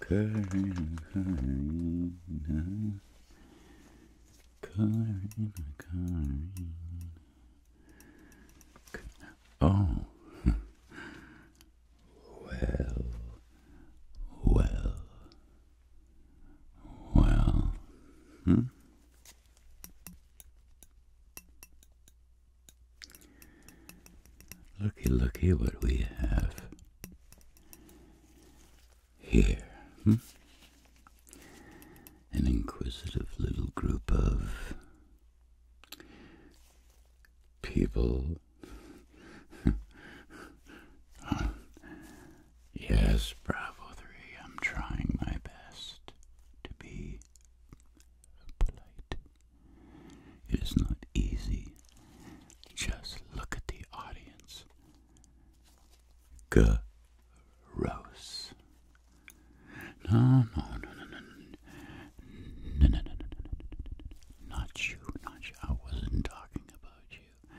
Karina, Karina, Karina. Oh, well, well, well, hmm. Looky, looky what we have here. Hmm? An inquisitive little group of people. Yes, Bravo 3, I'm trying my best to be polite. It is not easy. Just look at the audience. Rose. No, no, no, no, no, no, no, no, no, no, no, not you, not you. I wasn't talking about you.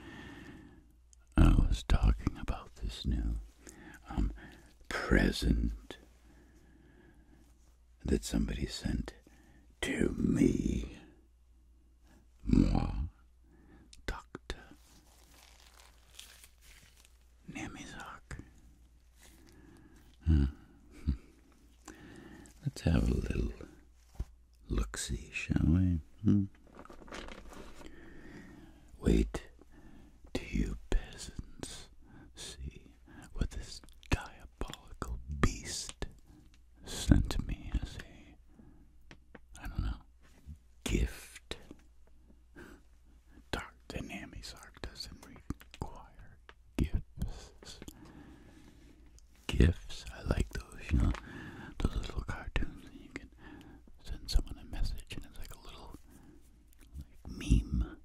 I was talking about this new, um, present that somebody sent to me. Moi, Dr. Nemizak. Hmm. Let's have a little look see, shall we? Hmm. Wait till you peasants see what this diabolical beast sent to me as a, I don't know, gift. Dark Dynamics Arc doesn't require gifts. Gifts, I like those, you know, those little cartoons that you can send someone a message and it's like a little like meme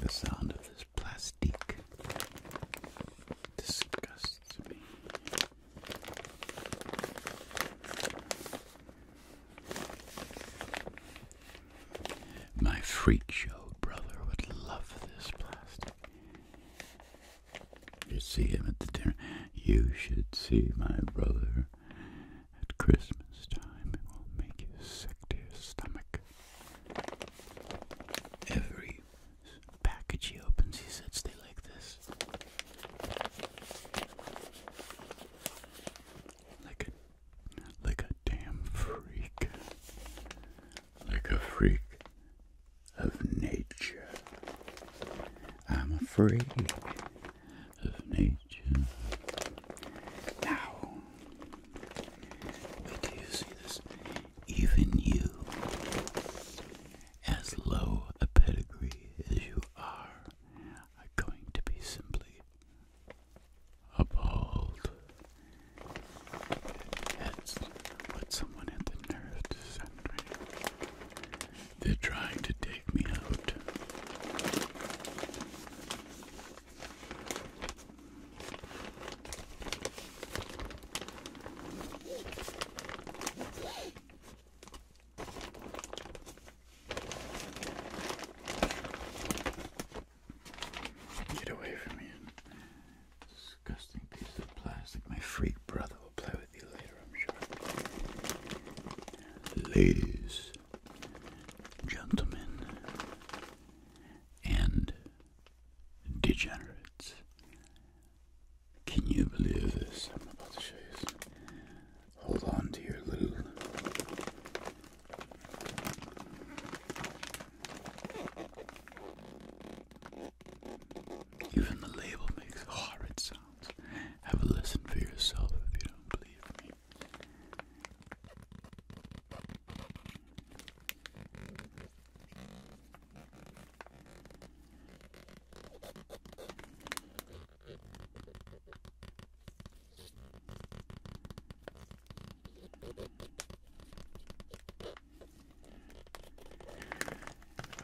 The sound of this plastic disgusts me. My freak show brother would love this plastic. You see him at the dinner. You should see my brother at Christmas time, it will make you sick to your stomach. Every package he opens, he said, "Stay like this." Like a, like a damn freak, like a freak of nature. I'm afraid of nature. Now, wait you see this. Even you, as low a pedigree as you are, are going to be simply appalled. That's someone had the nerve to They're trying to take me out. Get away from me. Disgusting piece of plastic. My freak brother will play with you later, I'm sure. Ladies, gentlemen, and degenerates. Can you believe this? I'm about to show you Hold on to your little. Even the label makes horrid sounds. Have a listen for yourself if you don't believe me.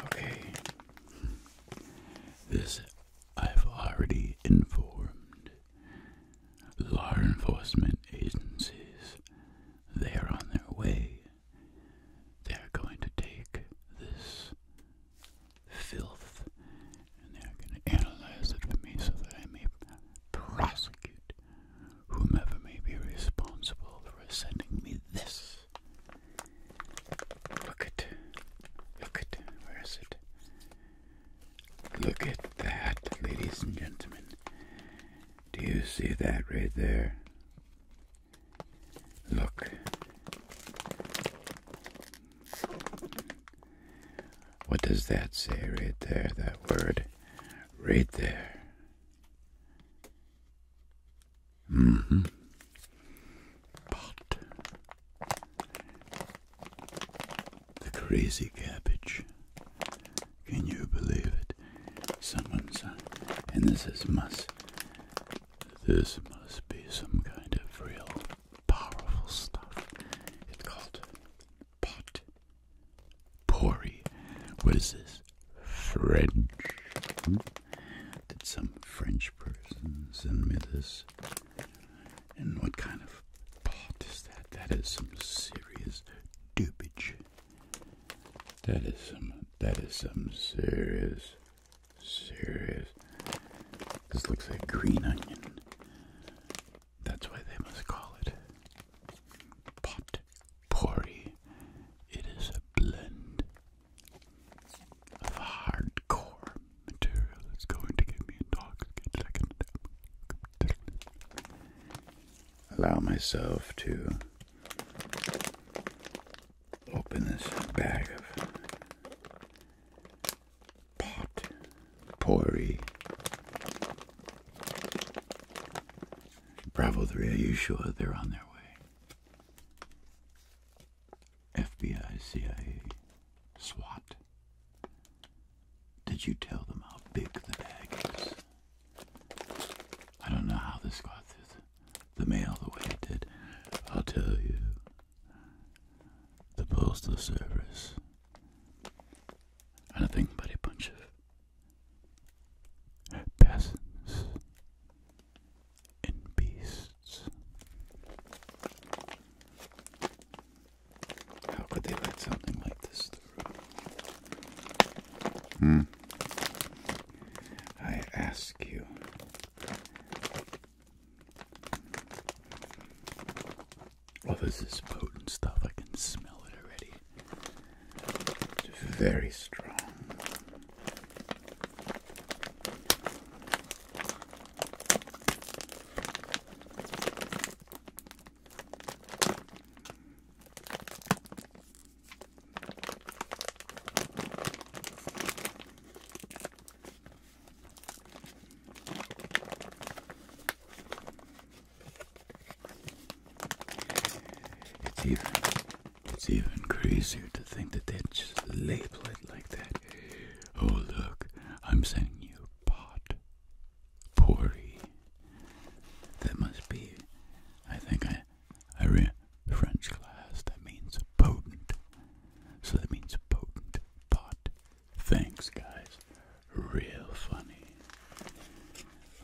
Okay, this I've already informed Law enforcement agencies, they're on their way. They're going to take this filth and they're going to analyze it for me so that I may prosecute whomever may be responsible for sending me this. Look at, look at, where is it? Look at that, ladies and gentlemen. Do you see that right there? Look. What does that say right there, that word? Right there. Mm hmm. Pot. The crazy cabbage. Can you believe it? Someone's, uh, and this is must. This must be some kind of real powerful stuff. It's called pot pourri. What is this? French. Hmm? Did some French person send me this? And what kind of pop is that? That is some serious dupage. That is some, that is some serious, serious. This looks like green onion. That's why they must call it pot potpourri. It is a blend of hardcore material that's going to give me intoxicated. I allow myself to open this bag of pot potpourri. Bravo 3, are you sure they're on their way? FBI, CIA, SWAT. Did you tell them how big the bag is? I don't know how this got through the, mail the way it did. I'll tell you. The Postal Service. And I think about a bunch of peasants and beasts. How could they let something like this through? Hmm. I ask you. Oh, this is potent stuff. I can smell it already. It's very strong. It's even it's even crazier to think that they just label it like that. Oh look, I'm sending you pot. Pori. That must be, I think I, I read French class, that means potent. So that means potent pot. Thanks, guys. Real funny.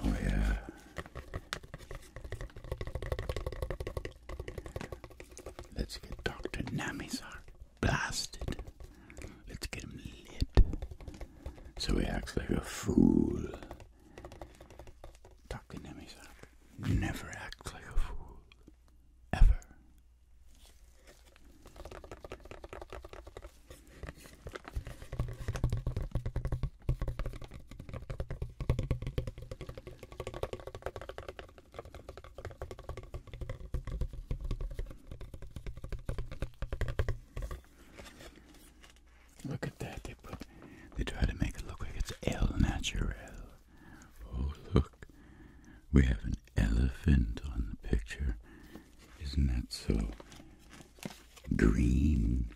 Oh, yeah. Let's get Dr. Namisar blasted. Let's get him lit. So he acts like a fool. Dr. Nemisak never acts like a fool. Ever. Look at that, they put they try to make it look like it's El Natural. Oh look. We have an elephant on the picture. Isn't that so green?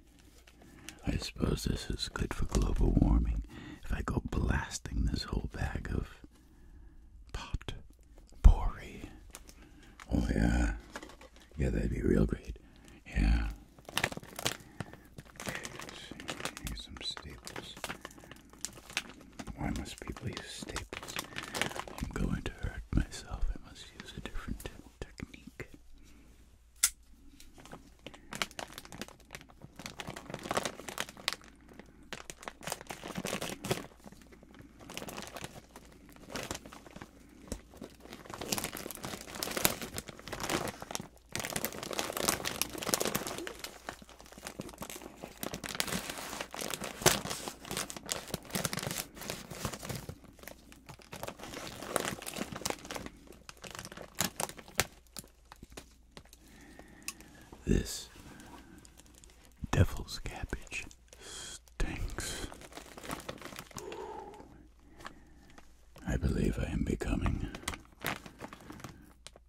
I suppose this is good for global warming. If I go blasting this whole bag of pot Pori. Oh yeah. Yeah, that'd be real great. Yeah. Okay, some staples. Why must people use staples? I'm going to hurt myself. I must use a different technique. This devil's cabbage stinks. I believe I am becoming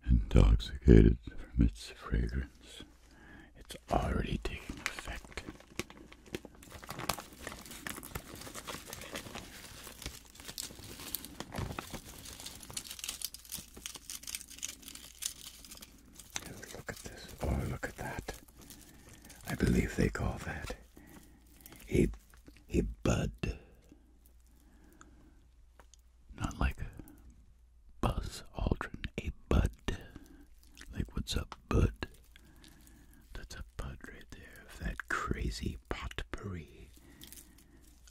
intoxicated from its fragrance. It's already taking effect. Look at this. Oh, look at that. I believe they call that a, a bud. Not like Buzz Aldrin, a bud. Like, what's up, bud? That's a bud right there that crazy potpourri.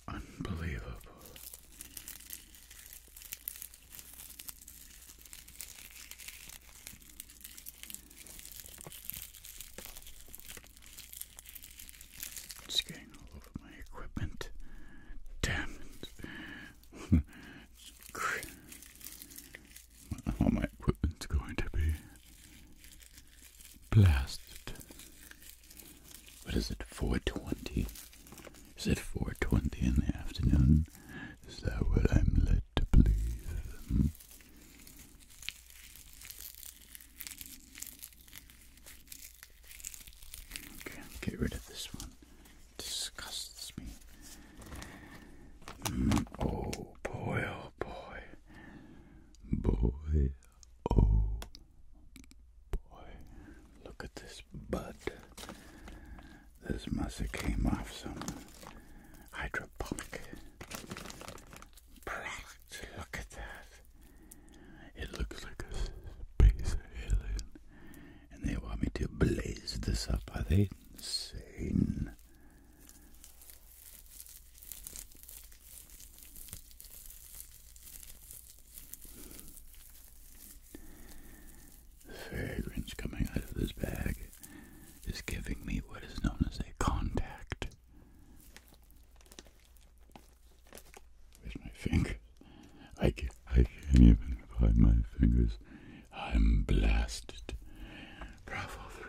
Unbelievable. It's all over my equipment. Damn it. all my equipment's going to be blasted. What is it, 420? Is it 4.20 in the afternoon. Is that what I'm led to believe? Hmm? Okay, get rid of this one. disgusts me. Hmm, oh boy, oh boy. Boy, oh boy. Look at this bud. This must have came off some hydroponic product. Look at that. It looks like a space alien. And they want me to blaze this up. Are they insane? The fragrance coming out of this bag is giving me what is known as a contact. With my finger, I can't, I can't even find my fingers. I'm blasted. Bravo 3.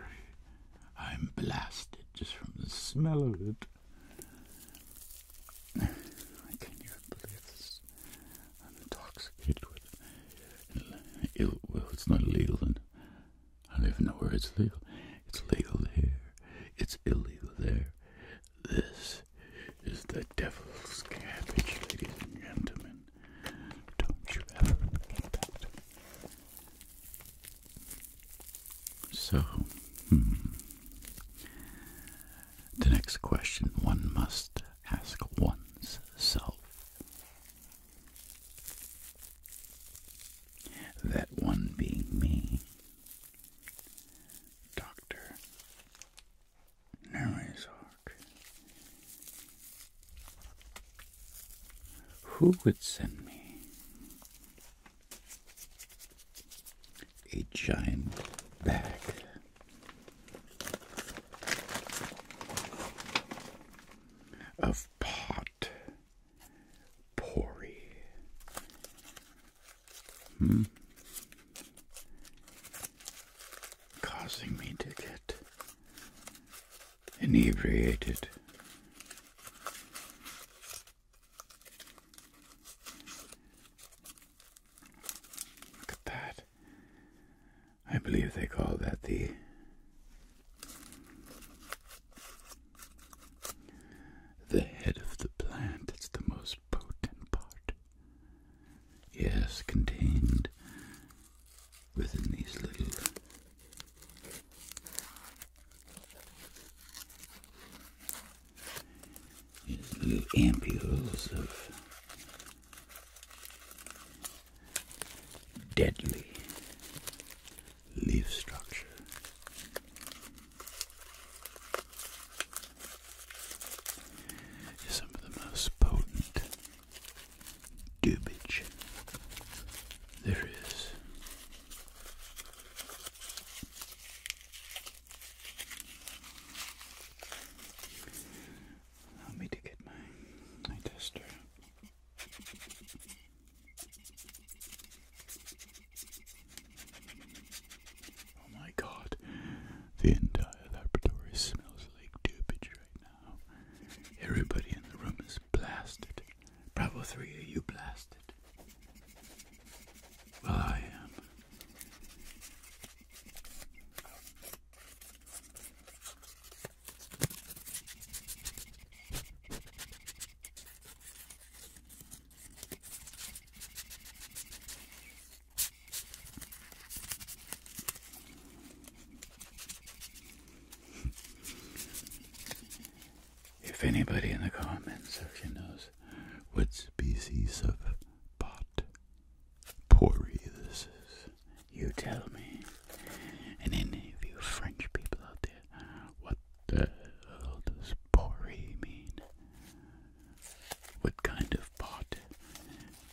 I'm blasted just from the smell of it. I can't even believe this intoxicated with ill will. It's not illegal, and I don't even know where it's legal. It's legal here. It's illegal there. This is the devil's cabbage, ladies and gentlemen. Don't you ever forget that. So, hmm. the next question one must ask one's self. That one being me, Dr. Narizark. Who would send me a giant bag. Of pot hmm? Causing me to get inebriated. Look at that. I believe they call that the the head of the plant. It's the most potent part. Yes, contained within these little ampules of deadly leaf structure. Some of the most potent dubage there is. Allow me to get my eye tester. Oh my god, the entire laboratory smells like dubage right now. Everybody in the room is blasted. Bravo 3, are you blasted? Well, I am. If anybody in the comments section knows what species of pot this is. you tell me, and any of you French people out there, what the hell does Poré mean? What kind of pot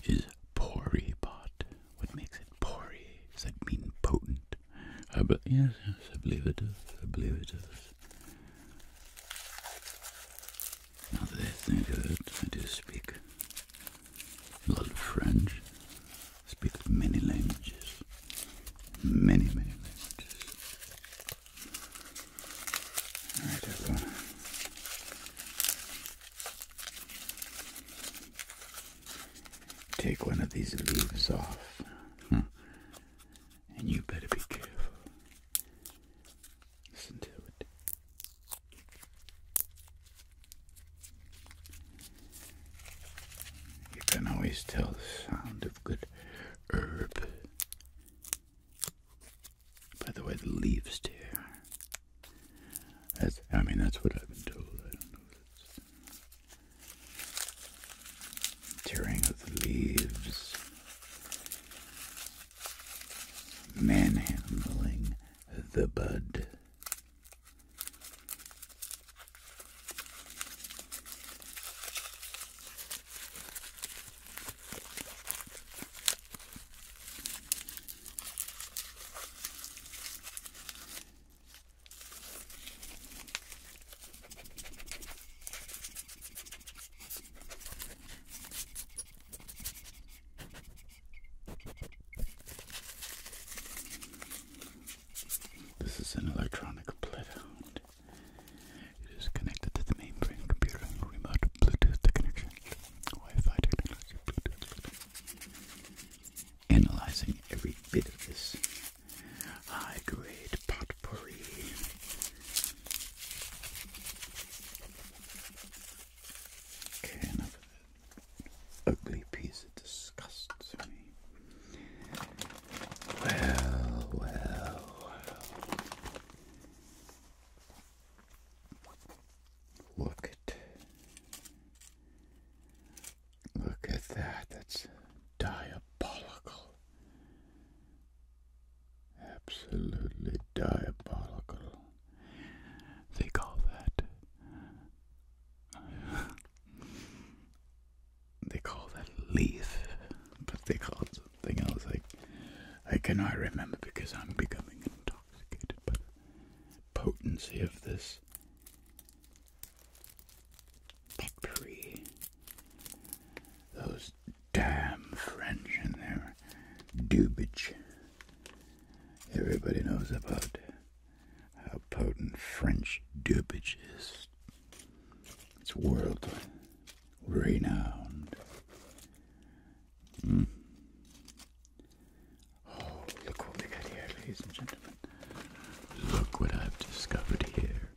is Poré pot? What makes it Poré? Does that mean potent? I yes, I believe it does. I believe it does. Now that I of it, I do speak a lot French. speak many languages. Many, many languages. Alright everyone. Take one of these leaves off. And you better be careful. Listen to it. You can always tell the sound of good herb by the way the leaves tear. That's, I mean, that's what I've been told. I don't know if tearing of the leaves manhandling the bud. This is an electronic bloodhound. It is connected to the mainframe computer and remote Bluetooth connection, Wi-Fi technology, Analyzing every bit of this high-grade potpourri. Okay, enough ugly piece that disgusts me. well, well. Look at. Look at that. That's diabolical. Absolutely diabolical. They call that. they call that leaf, but they call something else. Like I cannot remember because I'm becoming intoxicated by the potency of this potpourri. Those damn French in there. Dubich. Everybody knows about how potent French dubich is. It's world renowned. Hmm. Oh, look what we got here, ladies and gentlemen. Look what I've discovered here.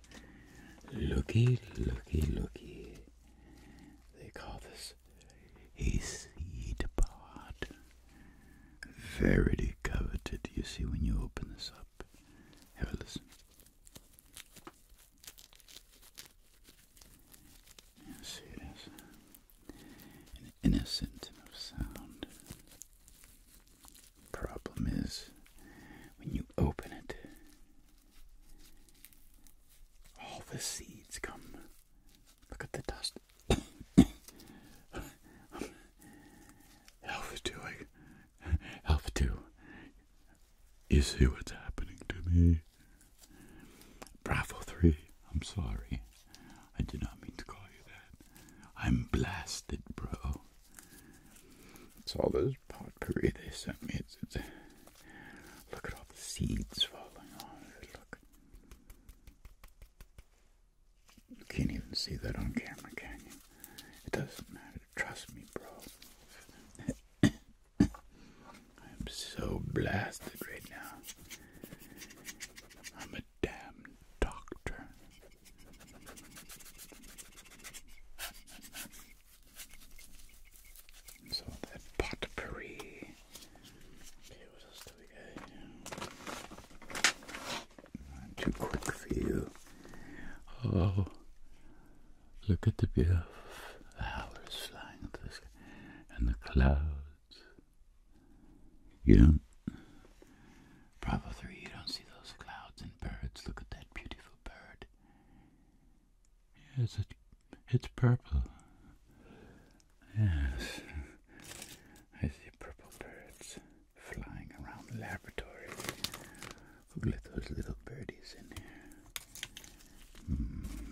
Looky, looky, looky. They call this was his seed pod. Very coveted, you see, when you open this up. Have a listen. Yes, it is an innocent of sound. Problem is, when you open it, all the seeds come. Look at the dust. Alpha 2, Alpha 2, you see what's happening to me. Bravo 3, I'm sorry. I did not mean to call you that. I'm blasted, bro. It's all those potpourri they sent me. It's, it's, Look at all the seeds falling Look. You can't even see that on camera, can you? It doesn't matter. Trust me, bro. I'm so blasted right now. I'm a damn doctor. So that potpourri. Okay, what else do we got here? Not too quick for you. Oh, look at the The hours flying into the sky and the clouds. You don't, Bravo 3, you don't see those clouds and birds. Look at that beautiful bird. Yes, it's purple. Yes. I see purple birds flying around the laboratory. Look at those little birdies in here. Hmm.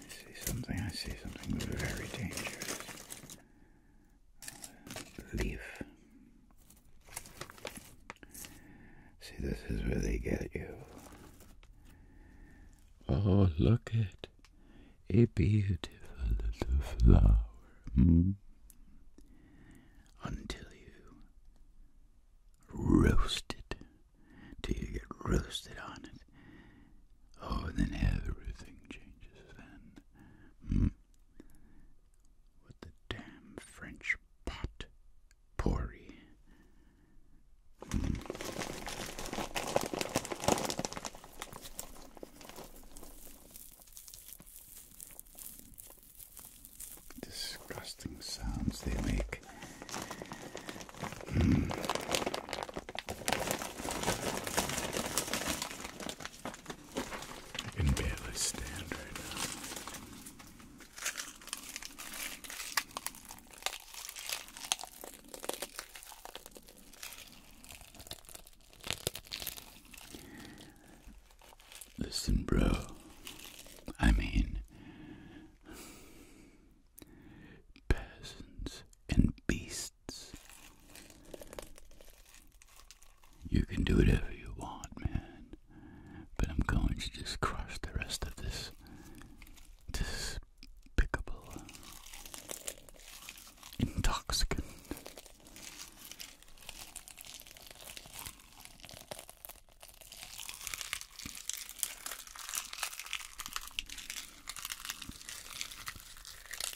I see something, I see something very dangerous leaf. See, this is where they get you. Oh, look at a beautiful little flower. Hmm? Until you roast it, till you get roasted on it. Oh, then everything changes then. Hmm? with the damn French pot pourri. Disgusting sounds they make. Hmm. I can barely stand right now. Listen, bro. I mean, peasants and beasts you can do whatever you want, man. But I'm going to just crush the rest of this despicable, intoxicant.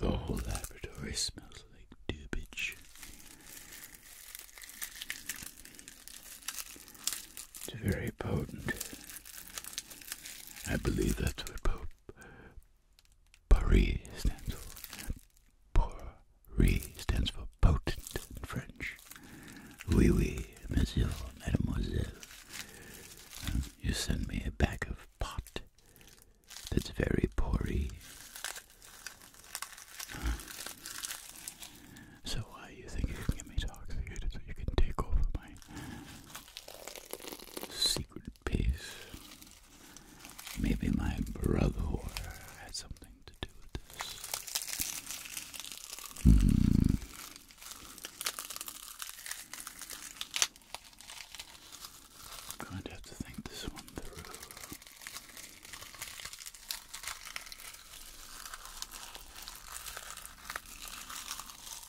The whole laboratory smells like dubage. It's very potent. I believe that's what potent Paris stands for Paris stands for potent in French. Oui, oui, monsieur, mademoiselle. You send me a bag of pot that's very pory. So why uh, you think you can get me toxicated so you can take over my secret piece. Maybe my brother had something to do with this. I'm hmm. going to have to think this one through.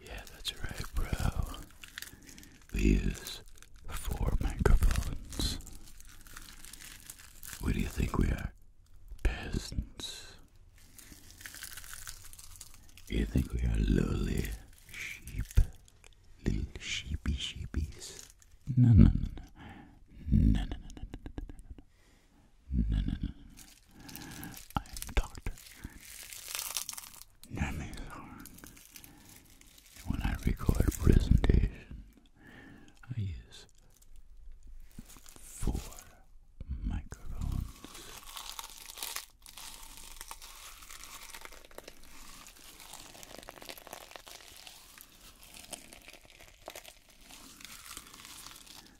Yeah, that's right, bro. We use four microphones. What do you think we are? Peasants. You think we are lowly sheep? Little sheepy sheepies. No, no, no, no, no, no, no, no, no, no, no, no. I am Doctor Namazar. And when I record a presentation, I use four microphones.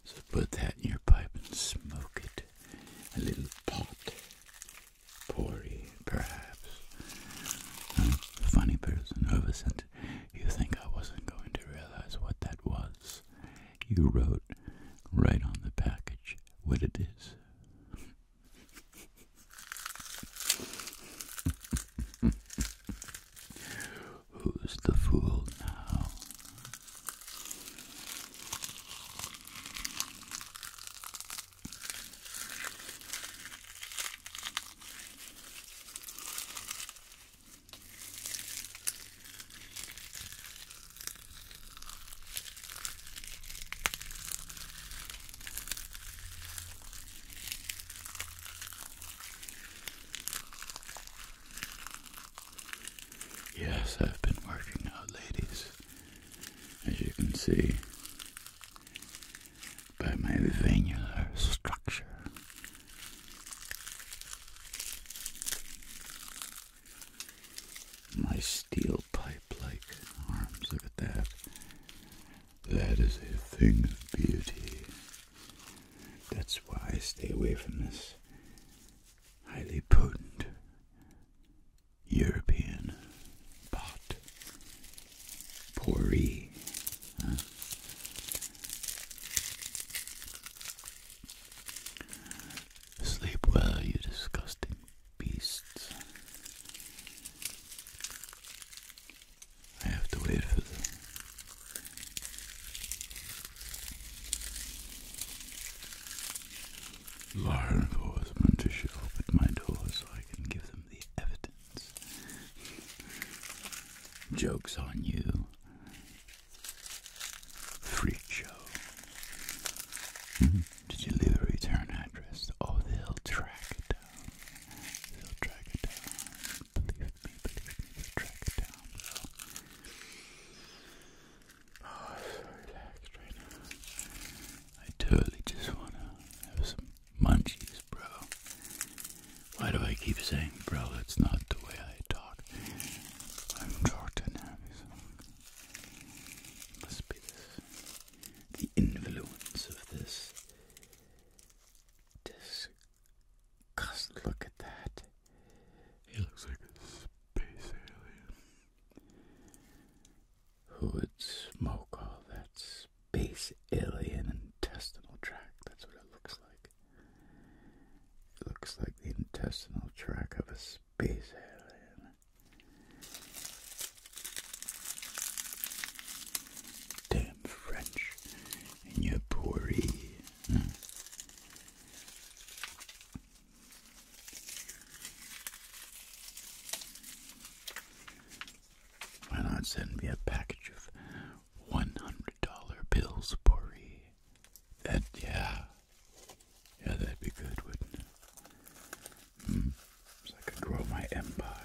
So put that in your pipe and smoke it. A little pot. Pory, perhaps. I'm a funny person, Oversent. You think I wasn't going to realize what that was? You wrote right on the package what it is. Who's the fool now? Yes, I've been working out, ladies, as you can see by my venular structure. My steel pipe like arms, look at that. That is a thing of beauty. That's why I stay away from this highly potent European pot. Pourri. Sleep well, you disgusting beasts. I have to wait for them. Law enforcement to show my door so I can give them the evidence. Joke's on you. Freak show. Hmm? Did you leave a return address? Oh, they'll track it down. They'll drag it down. Believe me, believe will drag it down, bro. Oh, I'm so relaxed right now. I totally just wanna have some munchies, bro. Why do I keep saying, bro? That's not the way I talk. I'm talking happy, so must be The influence of this Disgust. Look at that. He looks like a space alien. Who would smoke all that space alien intestinal tract? That's what it looks like. It looks like the intestinal tract of a space alien. Damn French and your poorie. Hmm. Why not send me a package of one hundred dollar bills, poorie? That yeah, yeah, that'd be good, wouldn't it? Hmm so I could grow my empire.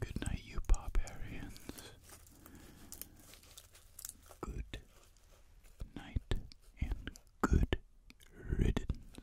Good night, you barbarians. Good night and good riddance.